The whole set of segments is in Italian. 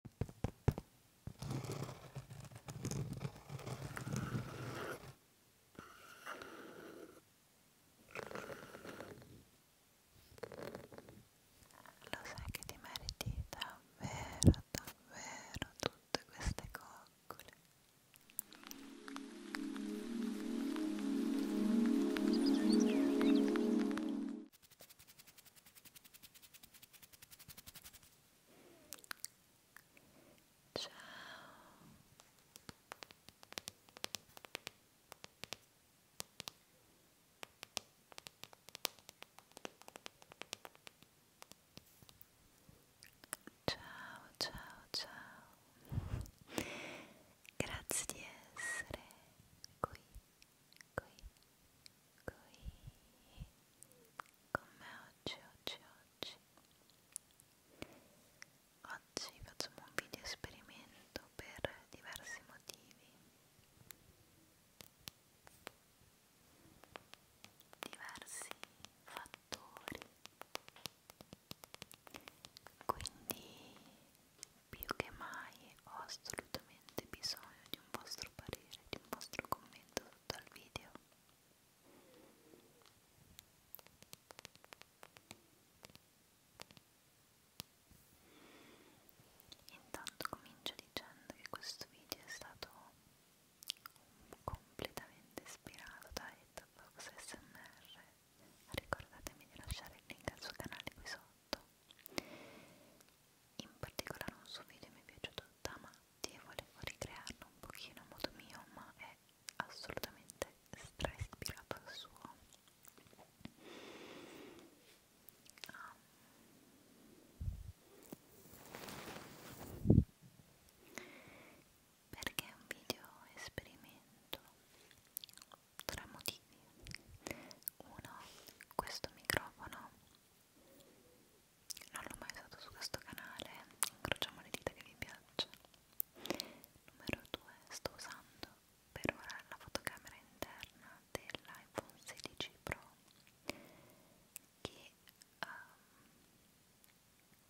Lo sai che ti meriti davvero, davvero tutte queste coccole ciao ciao ciao grazie di essere qui qui qui con me oggi, oggi, oggi oggi facciamo un video esperimento per diversi motivi diversi fattori quindi più che mai ho assolutamente bisogno di un vostro vostro parere, di un vostro commento sotto al video. Intanto comincio dicendo che questo video è stato completamente ispirato da Etta Fox SMR. Ricordatevi di lasciare il link al suo canale qui sotto in particolare un suo video mi è piaciuto da matti e volevo ricrearlo un pochino a modo mio, ma è assolutamente stra ispirato al suo. Ah. Perché è un video esperimento? Tre motivi. Uno, questo microfono non l'ho mai usato su questo canale incrociamo le dita che vi piaccia numero 2 sto usando per ora la fotocamera interna dell'iPhone 16 Pro che um,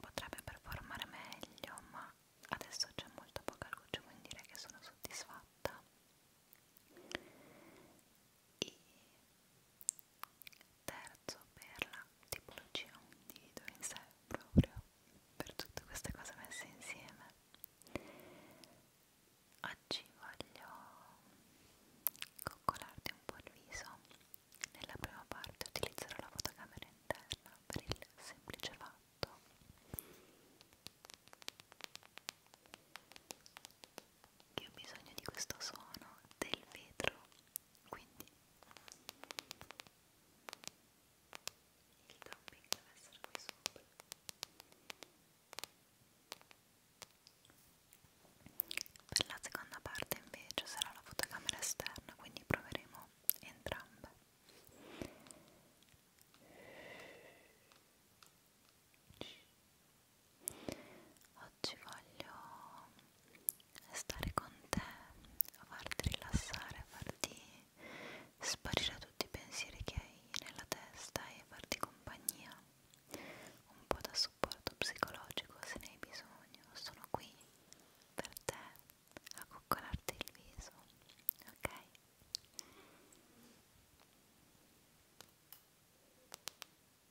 potrebbe performare meglio ma adesso c'è molto poca luce quindi direi che sono soddisfatta e terzo per la tipologia un dito in sé proprio per tutte queste cose messe insieme oggi voglio coccolarti un po' il viso nella prima parte utilizzerò la fotocamera interna per il semplice fatto che ho bisogno di questo suono del vetro quindi il tapping deve essere qui sopra per la seconda parte invece sarà la fotocamera esterna quindi proveremo entrambe Oggi voglio stare con te, farti rilassare, farti sparire tutti i pensieri che hai nella testa e farti compagnia, un po' da supporto psicologico se ne hai bisogno, sono qui per te a coccolarti il viso, ok?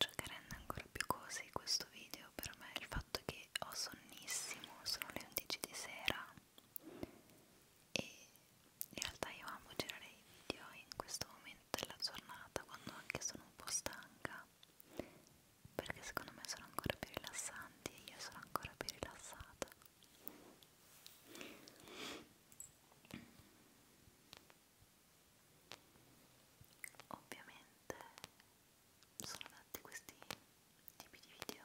Ciò che rende ancora più così questo video per me è il fatto che ho sonnissimo, sono le 11 di sera e in realtà io amo girare i video in questo momento della giornata quando anche sono un po' stanca perché secondo me sono ancora più rilassanti e io sono ancora più rilassata ovviamente sono tanti questi tipi di video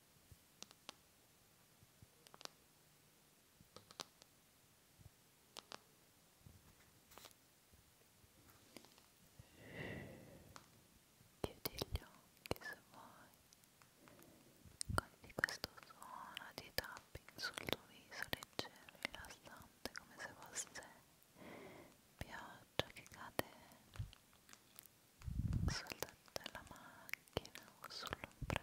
Chiudi gli occhi se vuoi, cogli questo suono di tapping sul tuo viso leggero, rilassante, come se fosse pioggia che cade saltate la macchina o sull'ombrello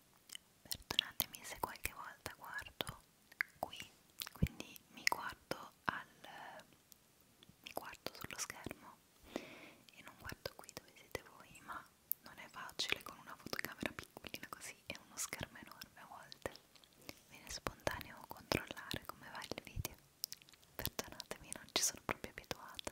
perdonatemi se qualche volta guardo qui quindi mi guardo al mi guardo sullo schermo e non guardo qui dove siete voi ma non è facile con una fotocamera piccolina così e uno schermo enorme a volte viene spontaneo controllare come va il video perdonatemi non ci sono proprio abituata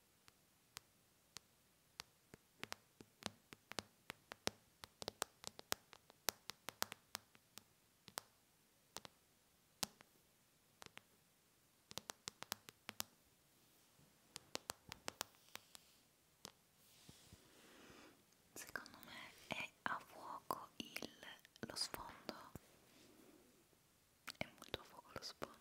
Secondo me è a fuoco il, lo sfondo, è molto a fuoco lo sfondo.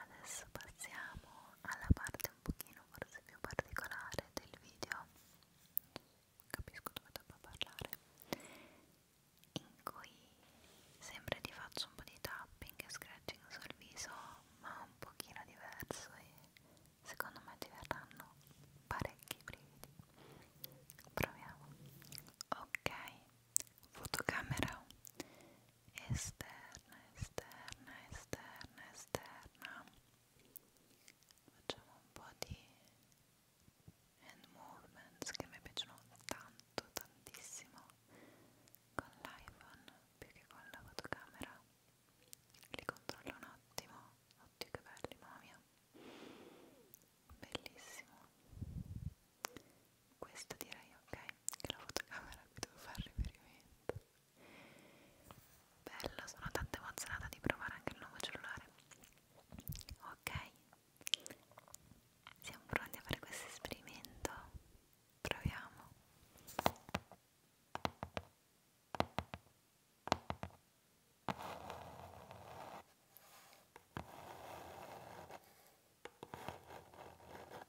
adesso passiamo alla parte un pochino forse più particolare del video capisco dove devo parlare in cui sempre ti faccio un po' di tapping e scratching sul viso ma un pochino diverso e secondo me ti verranno parecchi brividi proviamo ok fotocamera esterna, esterna, esterna, esterna facciamo un po' di hand movements che mi piacciono tanto, tantissimo con l'iPhone più che con la fotocamera li controllo un attimo, oddio che belli mamma mia bellissimo questo direi ok che la fotocamera qui devo fare riferimento bello sono tanto emozionata di provare anche il nuovo cellulare ok siamo pronti a fare questo esperimento proviamo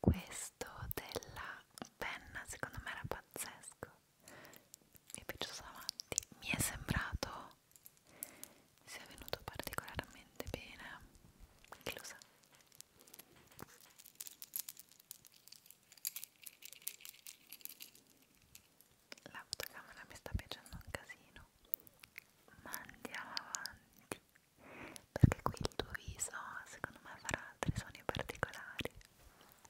questo della penna secondo me era pazzesco mi è piaciuto davanti mi è sembrato mi sia venuto particolarmente bene chi lo sa l'autocamera mi sta piacendo un casino ma andiamo avanti perché qui il tuo viso secondo me farà altri suoni particolari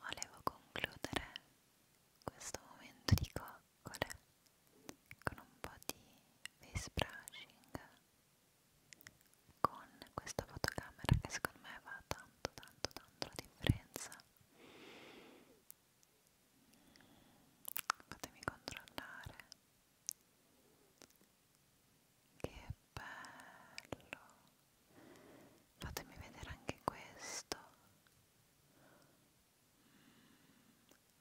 Volevo concludere questo momento di coccole con un po' di face brushing con questa fotocamera che secondo me va tanto tanto tanto la differenza fatemi controllare che bello fatemi vedere anche questo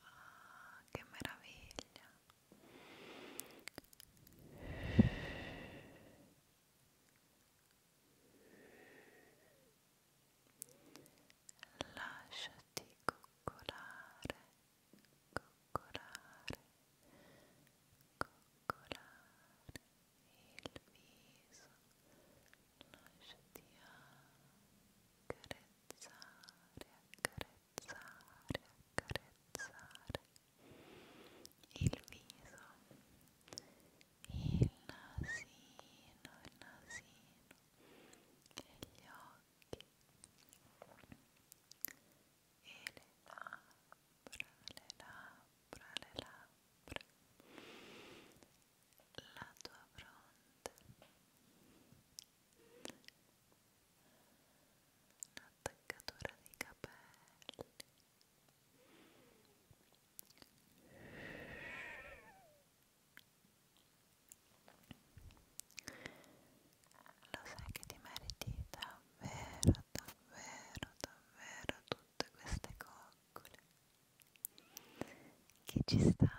ah, che meraviglia lasciati coccolare, coccolare, coccolare il viso, lasciati accarezzare, accarezzare, accarezzare il viso il nasino, il nasino, e gli occhi e le labbra, le labbra, le labbra la tua fronte l'attaccatura dei capelli e lo sai che ti meriti davvero, davvero, davvero tutte queste coccole. Che ci sta,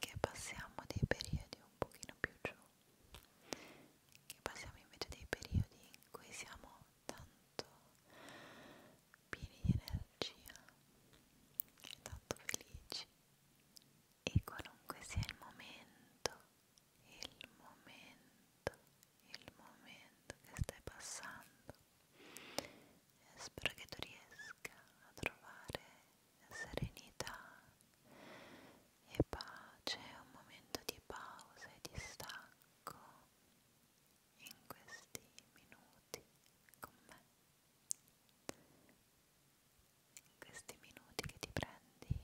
che passiamo dei periodi un pochino più giù, che passiamo invece dei periodi in cui siamo tanto pieni di energia e tanto felici e qualunque sia il momento, il momento, il momento che stai passando, spero che tu riesca a trovare serenità e pace, un momento di pausa e di stacco in questi minuti con me questi minuti che ti prendi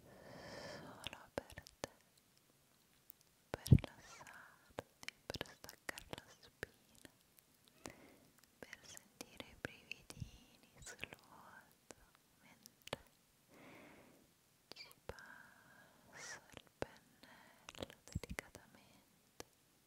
solo per te, per rilassarti, per staccare la spina, per sentire i brividini sul volto mentre ci passo il pennello delicatamente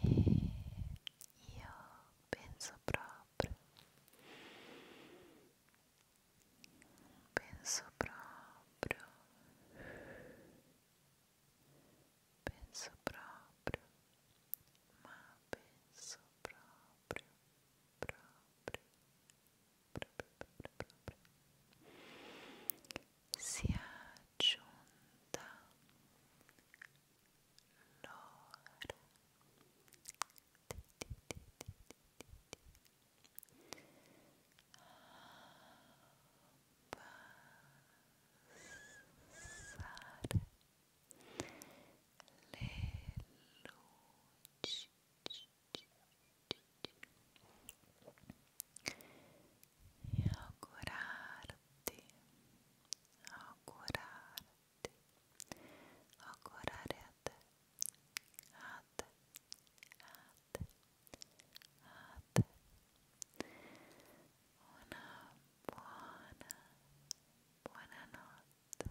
E io penso proprio, penso proprio, penso proprio, ma penso proprio proprio, proprio, proprio, proprio sia giunta l'ora abbassare le luci e augurarti, augurarti, augurare a te, a te, a te, a te, una buona, buona notte.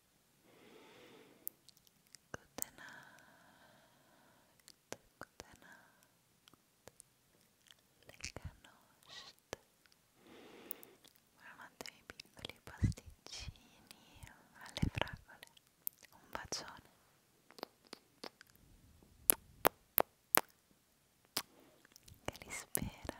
Good night, good night, lega nost. Buonanotte ai piccoli pasticcini, alle fragole. Un bacione. Che li spera.